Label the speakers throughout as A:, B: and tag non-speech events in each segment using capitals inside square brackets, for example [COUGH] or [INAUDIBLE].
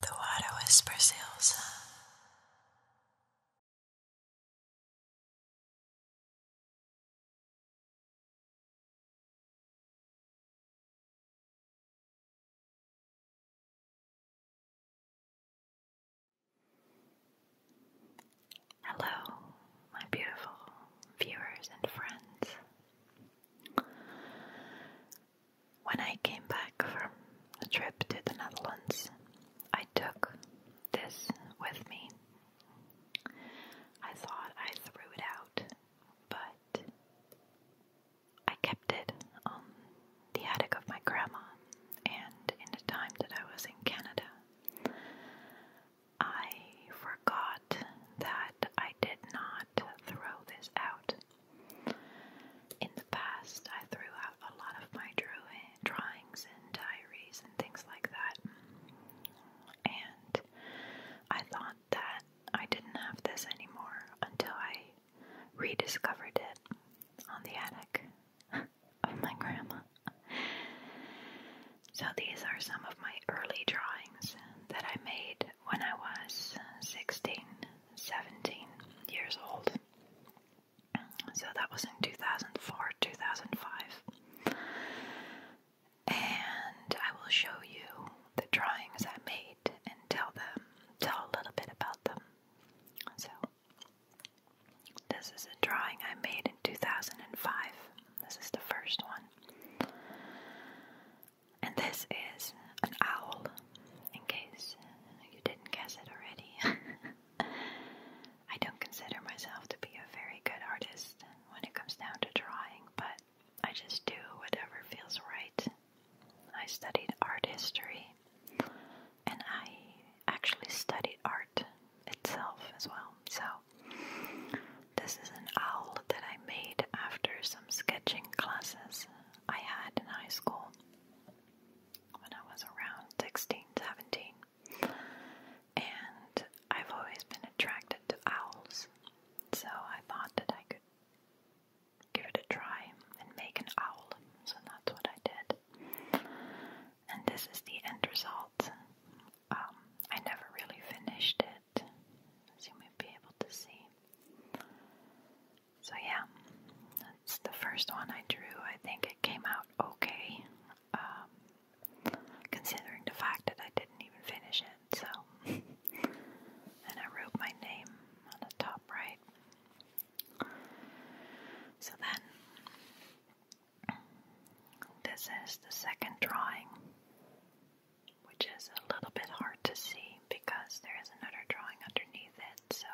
A: The water whispers Elsa. Hello, my beautiful viewers and friends. When I came back from a trip to the Netherlands, I took this with me. I thought I threw it out, but I kept it on um, the attic of my grandma, and in the time that I was in Canada, I forgot that I did not throw this out. In the past, I threw out a lot of my drawings and diaries and things like that. And I thought that I didn't have this anymore until I rediscovered it on the attic [LAUGHS] of my grandma. So these are some of my early drawings that I made when I was 16, 17 years old. So that was in 2004, 2005. And I will show you the drawings I made and tell them, tell a little bit about them. So, this is a drawing I made in 2005. This is the first one. And this is an owl, in case you didn't guess it already. [LAUGHS] I don't consider myself to be a very good artist when it comes down to drawing, but I just do whatever feels right. I studied art history, and I actually studied art itself as well. So, this is an owl that I made after some sketching classes I had in high school when I was around 16, 17. And I've always been attracted to owls, so I thought that I could give it a try and make an owl. So that's what I did. And this is the end result. Um, I never really finished it, as you may be able to see. So, yeah, that's the first one I drew. I think it came out okay, um, considering the fact that I didn't even finish it. So, [LAUGHS] and I wrote my name on the top right. So, then this is the second drawing which is a little bit hard to see because there is another drawing underneath it. So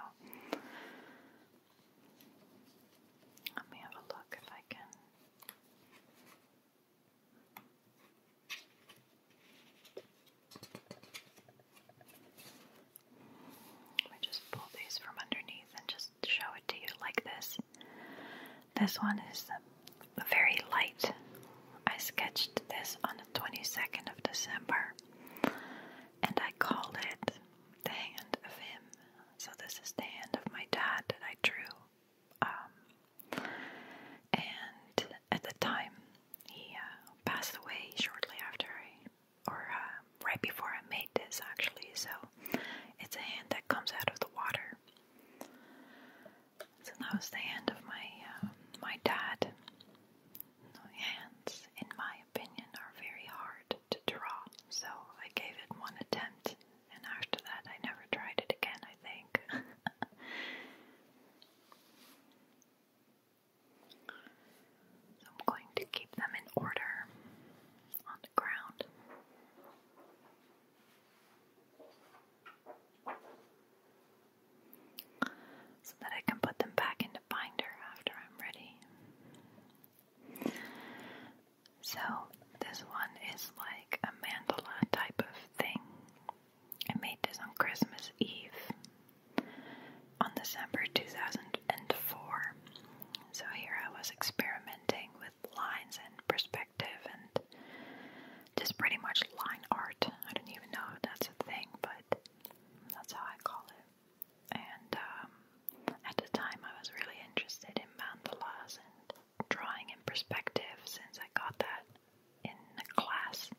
A: let me have a look if I can. I just pull these from underneath and just show it to you like this. This one is um, very light. I sketched this on 22nd of December, and I called it the hand of him. So, this is the hand of my dad that I drew. Um, and at the time, he uh, passed away shortly after I, or uh, right before I made this actually. So, it's a hand that comes out of the water. So that was the hand of my uh, my dad, hands, in my opinion, are very hard to draw, so I gave it one attempt, and after that, I never tried it again, I think. [LAUGHS] so I'm going to keep them in order on the ground so that I can put them back into binder after I'm ready. So, this one is like a mandala type of thing. I made this on Christmas Eve on December 2004. So, here I was experimenting with lines and perspective and just pretty much line art. I don't even know if that's a thing, but that's how I call it. And um, at the time, I was really interested in mandalas and drawing in perspective since I got that in the class.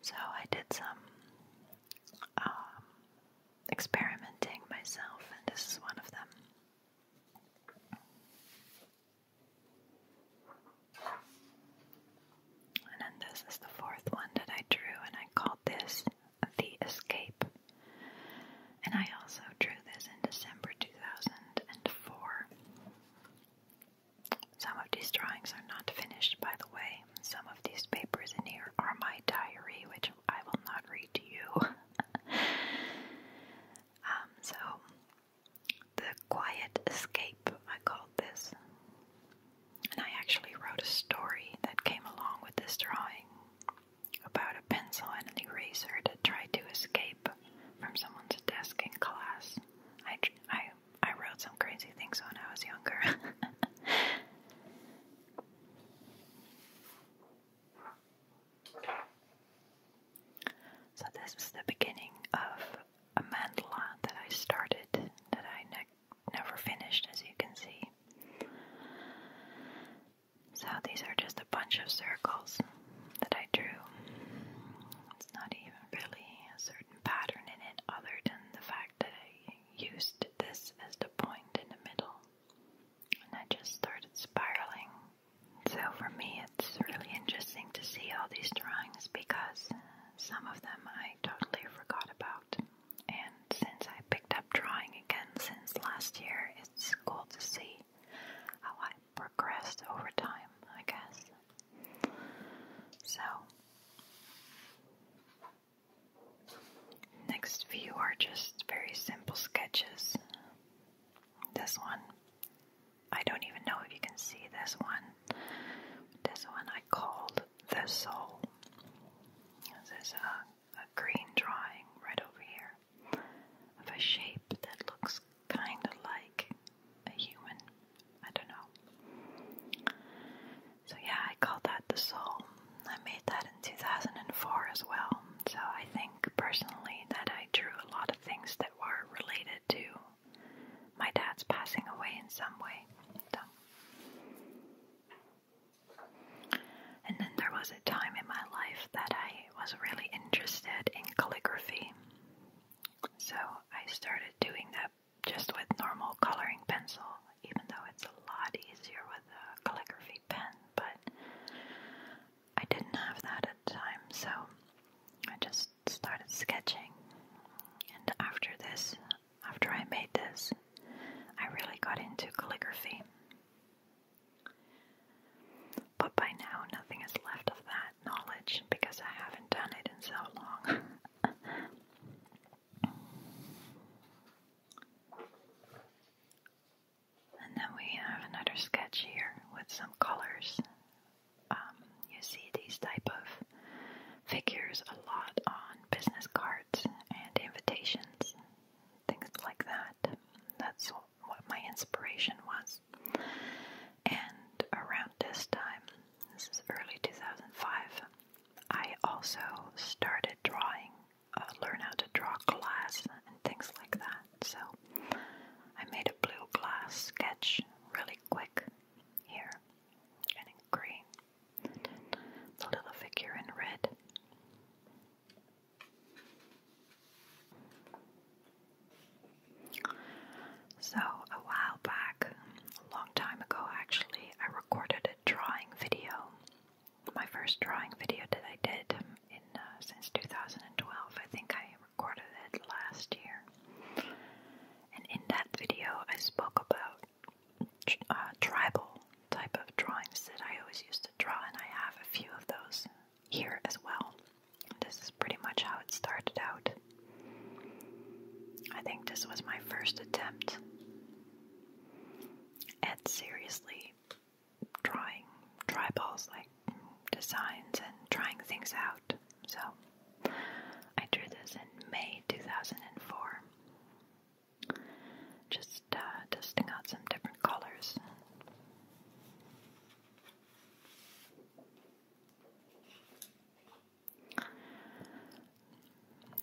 A: So I did some um, experimenting myself, and this is one of them. And then this is the fourth one that I drew, and I called this the escape. And I also drew this in December 2004. Some of these drawings are not finished, by the way. Some of these papers in here are my diary, which I will not read to you. [LAUGHS] Um, so the quiet escape, I called this. And I actually wrote a story that came along with this drawing about a pencil and an eraser that tried to escape from someone's desk in class. I, I, I wrote some crazy things when I was younger. [LAUGHS] so, this was the beginning of a mandala that I started that I never finished, as you can see. So these are just a bunch of circles that I drew. It's not even really a certain pattern in it, other than the fact that I used this as the point in the middle. And I just started spiraling. So for me, it's really interesting to see all these drawings because some of them I totally forgot about. And since I picked up drawing again since last year, it's cool to see how I progressed over time, I guess. So, next few are just very simple sketches. This one I don't even know if you can see this one. This one I called The Soul. This is a, a green drawing right over here of a shape that looks kind of like a human. I don't know. So, yeah, I called that The Soul. I made that in 2004 as well. So, I think personally that I drew a lot of things that were related to my dad's passing away in some way. And then there was a time in my life that I was really interested in calligraphy. So I started doing that just with normal coloring pencil, even though it's a lot easier with a calligraphy pen, but I didn't have that at time, so I just started sketching. And after this, after I made this, I really got into calligraphy. But by now, nothing is left of that knowledge because I haven't done it in so long. [LAUGHS] and then we have another sketch here with some colors um, you see these type of figures a lot on business cards and invitations, things like that. That's what my inspiration was. And around this time, this is early 2005, I also started drawing, uh, learn how to draw glass and things like that. So I made a blue glass sketch really quick here and green, the little figure in red. So, a while back, a long time ago actually, I recorded a drawing video. My first drawing video that I did um, in uh, since 2012. I think I recorded it last year. And in that video, I spoke about uh, tribal type of drawings that I always used to draw, and I have a few of those here as well. This is pretty much how it started out. I think this was my first attempt at seriously drawing triballs like designs and trying things out. So I drew this in May 2004. Just testing uh, out some different colors.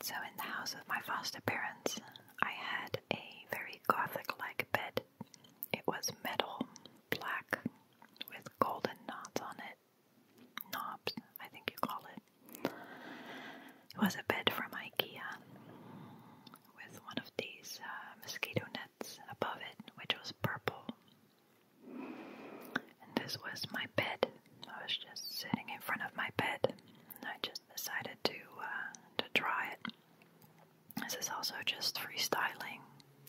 A: So, in the house of my foster parents, I had a very gothic like bed. It was metal, black, with golden knots on it knobs, I think you call it. It was a bed from IKEA with one of these uh, mosquito nets above it, which was purple. And this was my bed. I was just sitting in front of my bed, and I just decided to uh, to try it. This is also just freestyling.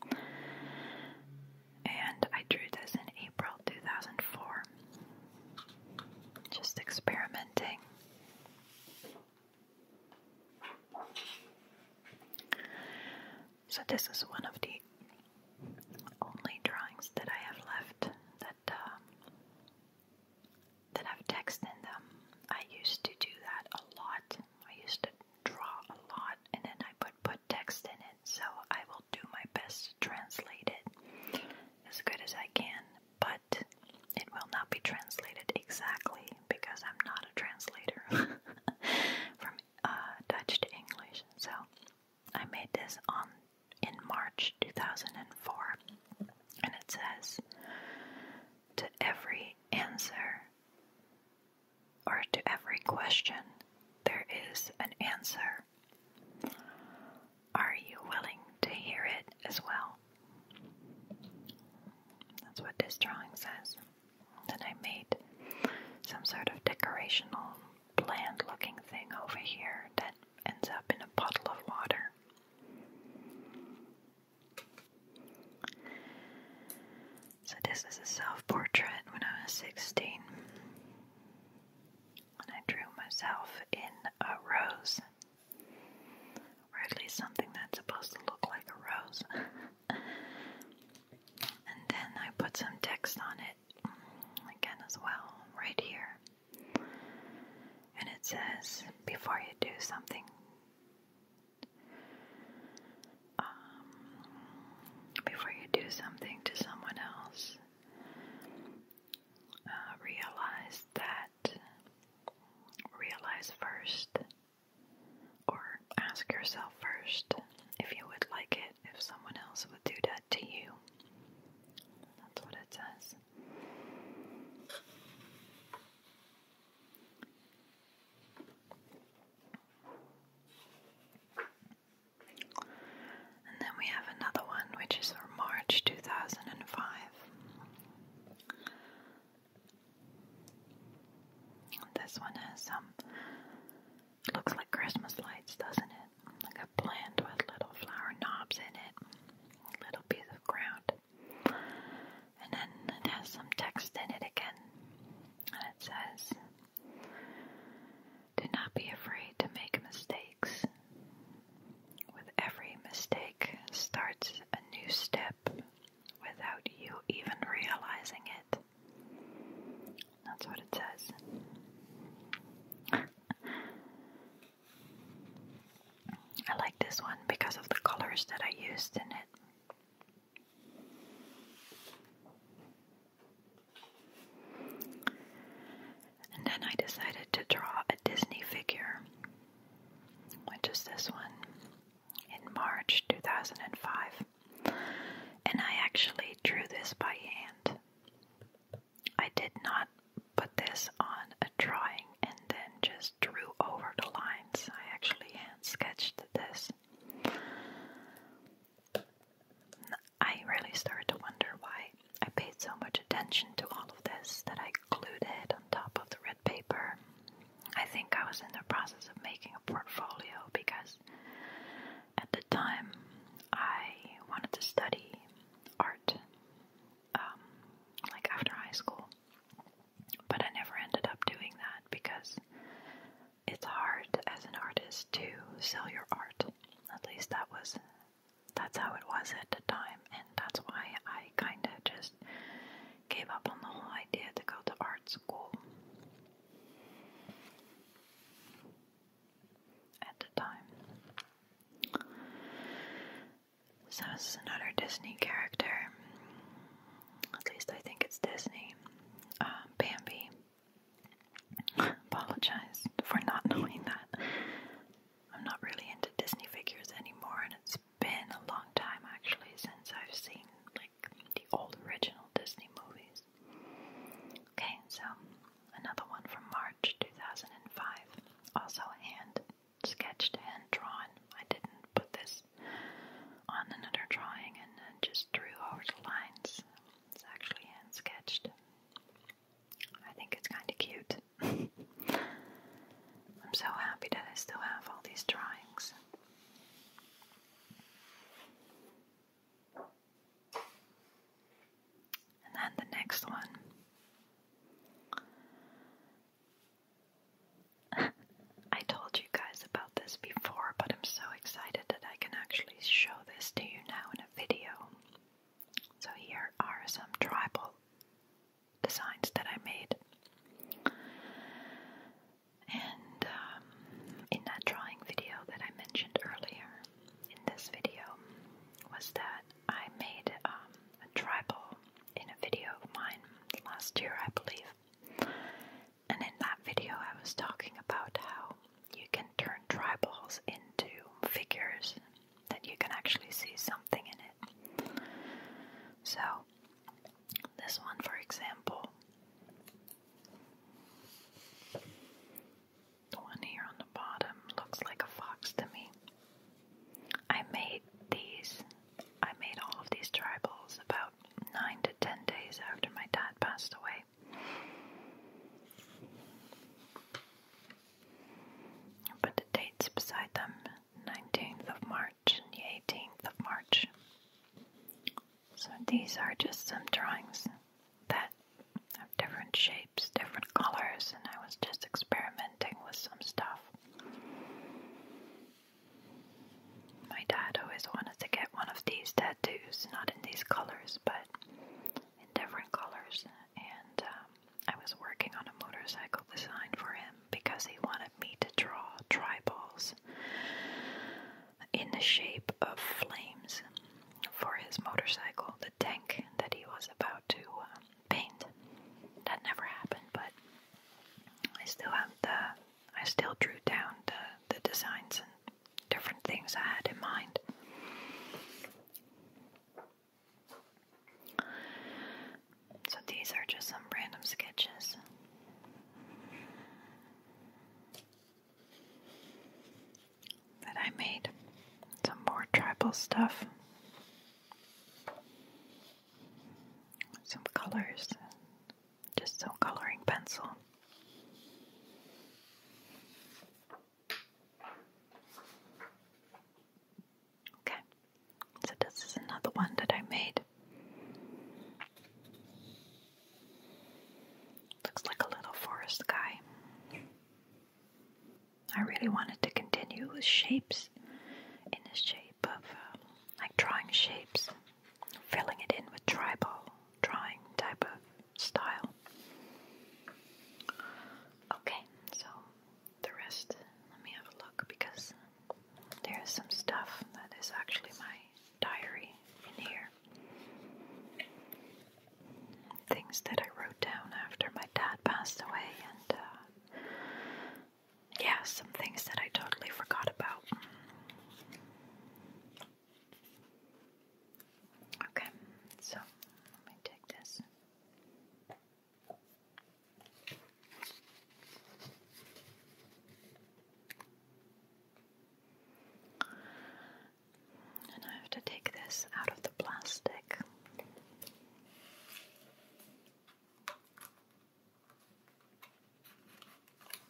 A: And I drew this in April 2004. Just experimenting. So, this is one of the only drawings that I have left that um, that have text in them. I used to do that a lot. I used to draw a lot, and then I would put text in it. So I will will do my best to translate it as good as I can, but it will not be translated exactly because I'm not a translator [LAUGHS] from uh, Dutch to English. So I made this on in March 2004, and it says to every answer or to every question, there is an answer. Are you willing to hear it as well? That's what this drawing says. Then I made some sort of decorational plant looking thing over here that ends up in a bottle of water. So this is a self-portrait when I was 16. And I drew myself in a rose. Or at least something that's supposed to look like a rose. [LAUGHS] and then I put some text on it again as well, right here. And it says, before you do something, um, before you do something to someone else, uh, realize that, realize first, or ask yourself first if you would like it if someone else would do that to you. That's what it says. And then we have another one which is from March 2005. This one has some, um, looks like Christmas lights, doesn't it? Like a plant with little flower knobs in it, a little piece of ground. And then it has some text in it again. And it says, do not be afraid to make mistakes. With every mistake starts a new step without you even realizing it. That's what it says. I like this one because of the colors that I used in it. And then I decided to draw a Disney figure, which is this one, in March 2005. And I actually drew this by hand. I did not put this on a drawing and then just drew over the lines. I actually hand sketched this. I really started to wonder why I paid so much attention to all of this that I glued it on top of the red paper. I think I was in the process of making a portfolio because at the time I wanted to study art, um, like after high school. But I never ended up doing that because it's hard as an artist to sell your art. At least that was that's how it was at the time, and that's why I kind of just gave up on the whole idea to go to art school. At the time. So, this is another Disney character. At least I think it's Disney. Uh, Bambi. Apologize for not knowing that. I'm not really into Disney figures anymore, and it's been a long time actually since I've seen like the old original Disney movies. Okay, so another one from March 2005, also hand sketched, and drawn. I didn't put this on another drawing and then just drew over the lines it's actually hand sketched. I think it's kind of cute. [LAUGHS] I'm so happy that I still have all these drawings. And then the next one. [LAUGHS] I told you guys about this before, but I'm so excited that I can actually show this to you now in a video. So here are some tribal designs that I made. And um, in that drawing video that I mentioned earlier in this video was that I made um, a tribal in a video of mine last year, I believe. And in that video, I was talking about how you can turn dry balls into figures that you can actually see something in it. So, this one, for example, the one here on the bottom looks like a fox to me. I made these, I made all of these dry balls about nine to ten days after my dad passed away. Put the dates beside them 19th of March and the 18th of March. So these are just some drawings that have different shapes, different colors, and I was just experimenting with some stuff. My dad always wanted to get one of these tattoos, not in these colors, but in different colors. And um, I was working on a motorcycle design for him because he wanted me to draw triballs in the shape of flames for his motorcycle, the tank that he was about to um, paint. That never happened, but I still have the. I still drew down the, the designs and different things I had in mind. So these are just some random sketches. That I made some more tribal stuff, some colors, just some coloring pencil. Okay, so this is another one that I made. Looks like a little forest guy. I really wanted to continue with shapes in the shape of um, like drawing shapes, filling it in with tribal drawing type of style. Okay, so the rest, let me have a look because there's some stuff that is actually my diary in here. Things that I wrote down after my dad passed away, and uh, yeah, some things that I totally forgot about. Okay, so let me take this. And I have to take this out of the plastic.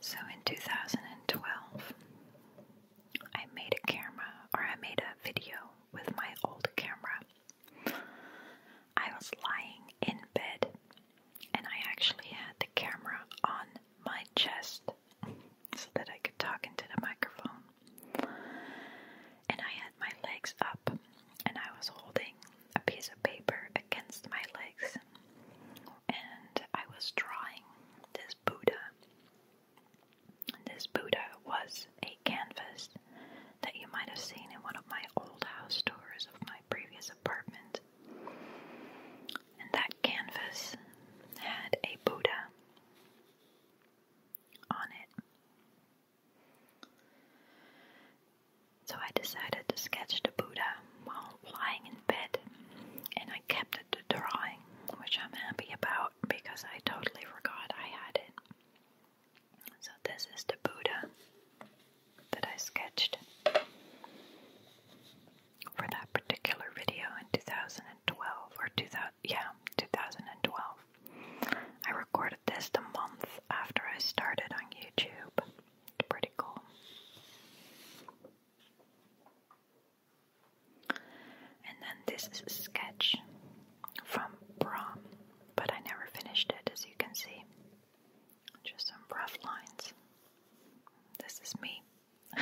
A: So in 2012, I made a camera or I made a video with my old camera. I was lying in bed and I actually had the camera on my chest so that I could talk into the microphone. And I had my legs up, and I was holding a piece of paper against my legs, and I was drawing this Buddha. This Buddha was a canvas that you might have seen in one of my old house tours of my previous apartment. And that canvas had a Buddha on it. So I decided to sketch the Buddha while lying in bed, and I kept the drawing, which I'm happy about because I totally forgot I had it. So, this is the Buddha that I sketched for that particular video in 2012 or 2000, yeah, 2012. I recorded this the month after I started on YouTube. It's pretty cool. And then this is a sketch from prom, but I never finished it as you can see. Just some rough lines. This is me [LAUGHS]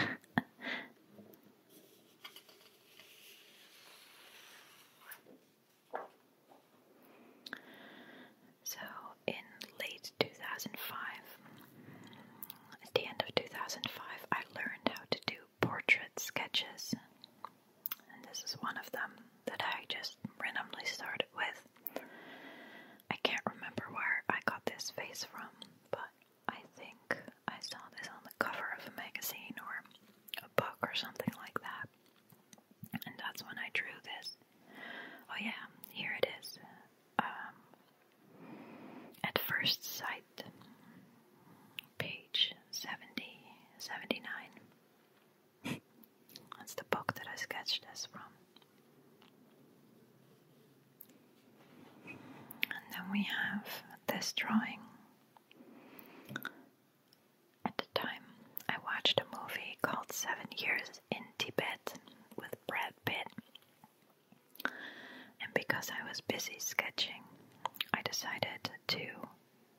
A: so, in late 2005, at the end of 2005, I learned how to do portrait sketches, and this is one of them that I just randomly started with. I can't remember where I got this face from, but I think I saw this on the cover of a magazine or a book or something like that. And that's when I drew this. Oh, yeah, here it is. Um, at first sight, page 70, 79. [LAUGHS] that's the book that I sketched this from. And then we have this drawing. At the time, I watched a movie called Seven Years in Tibet with Brad Pitt. And because I was busy sketching, I decided to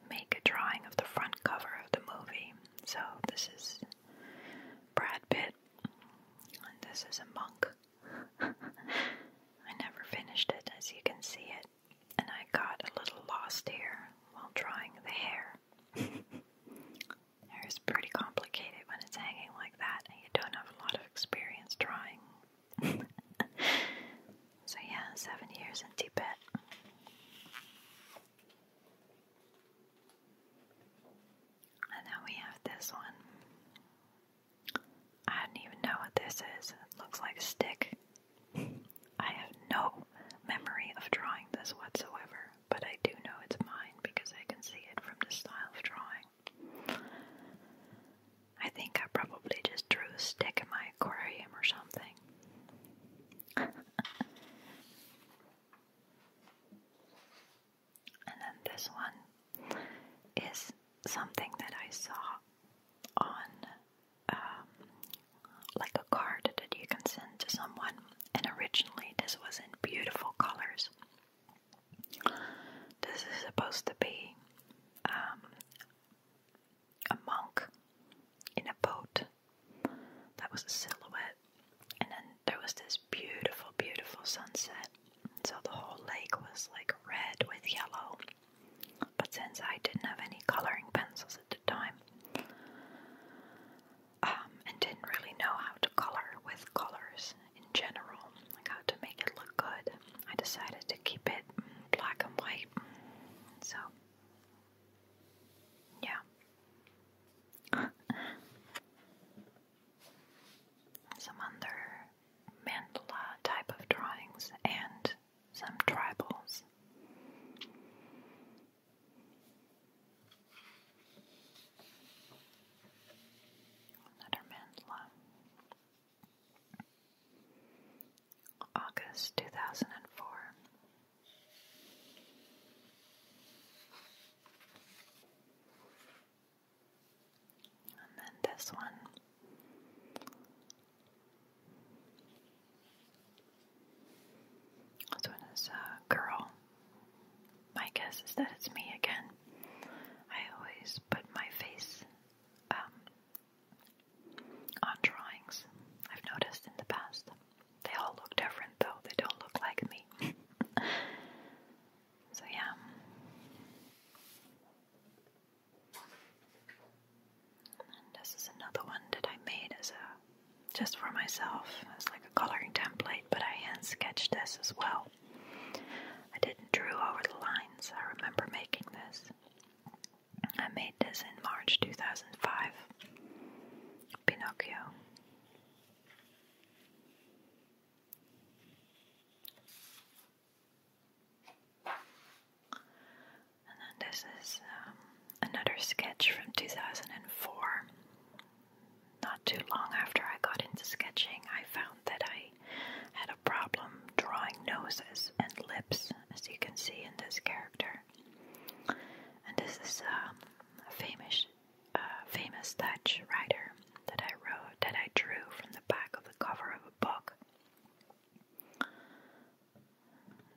A: make a drawing of the front cover of the movie. So this is Brad Pitt, and this is a monk [LAUGHS] I never finished it, as you can see it, and I got a little lost here while drawing the hair. [LAUGHS] Hair is pretty complicated when it's hanging like that, and you don't have a lot of experience drawing. [LAUGHS] so, yeah, seven years in Tibet. And now we have this one. I don't even know what this is. It looks like a stick. I have no memory of drawing this whatsoever, but I do know it's mine because I can see it from the style of drawing. I think I probably just drew a stick in my aquarium or something. And then this one is something that I saw on um, like a card that you can send to someone. And originally, this was in beautiful colors. This is supposed to be um, a monk in a boat. That was a silhouette. And then there was this beautiful, beautiful sunset so the whole lake was like red with yellow. But since I didn't have any coloring pencils at the time, um, and didn't really know how to color with colors in general, like how to make it look good, I decided to keep it black and white. So, yeah. [LAUGHS] Some other Mandela type of drawings and some tribals. Another mandala. August 2004. And then this one. This one is a uh, girl. My guess is that it's me again. I always put my face um, on drawings. I've noticed in the past. They all look different though, they don't look like me. [LAUGHS] So, yeah. this is another one that I made as a just for myself It's like a coloring template, but I hand sketched this as well. I didn't drew over the lines. I remember making this. I made this in March 2005. Pinocchio. And then this is um, another sketch from 2004. Not too long after I got into sketching, I found that I had a problem drawing noses and lips, as you can see in this character. And this is um, a famous, uh, famous Dutch writer that I wrote that I drew from the back of the cover of a book.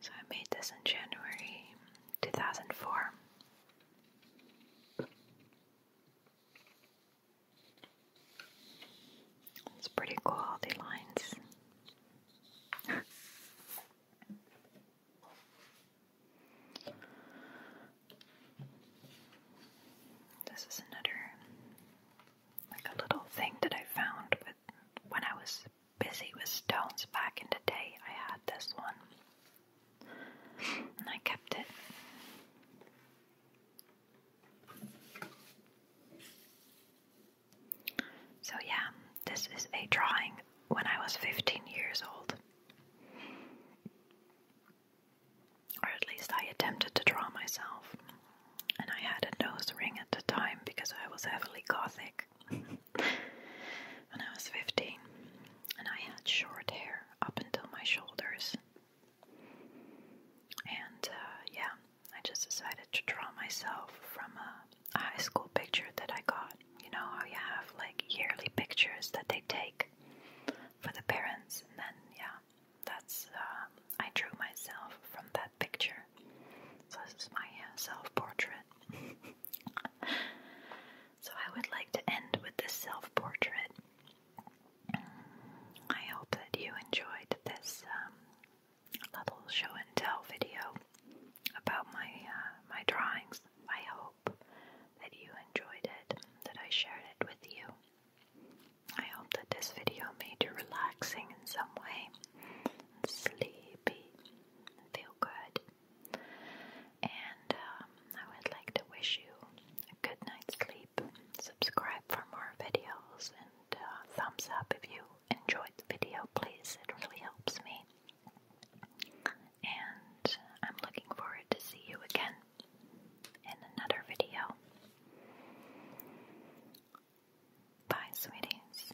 A: So I made this in January 2004. It's pretty cool, the lines. This is another like a little thing that I found when I was busy with stones back in the day. I had this one and I kept it. So, yeah, this is a drawing when I was 15 years old. Or at least I attempted to draw myself. And I had a nose ring at the time because I was heavily gothic [LAUGHS] when I was 15. And I had short hair up until my shoulders. And uh, yeah, I just decided to draw myself from a high school picture that I got. You know how you have like yearly pictures that they take for the parents, and then yeah, that's uh, I drew myself from that picture. So this is my uh, self-portrait. [LAUGHS] so I would like to end with this self-portrait. I hope that you enjoyed this um, little show and tell video about my uh, my drawings. I hope that you enjoyed it, that I shared it with you. I hope that this video made you relaxing in some way, sleepy, feel good, and um, I would like to wish you a good night's sleep. Subscribe for more videos and uh, thumbs up if you enjoyed the video, please. It really helps me. And I'm looking forward to see you again in another video. Bye, sweeties.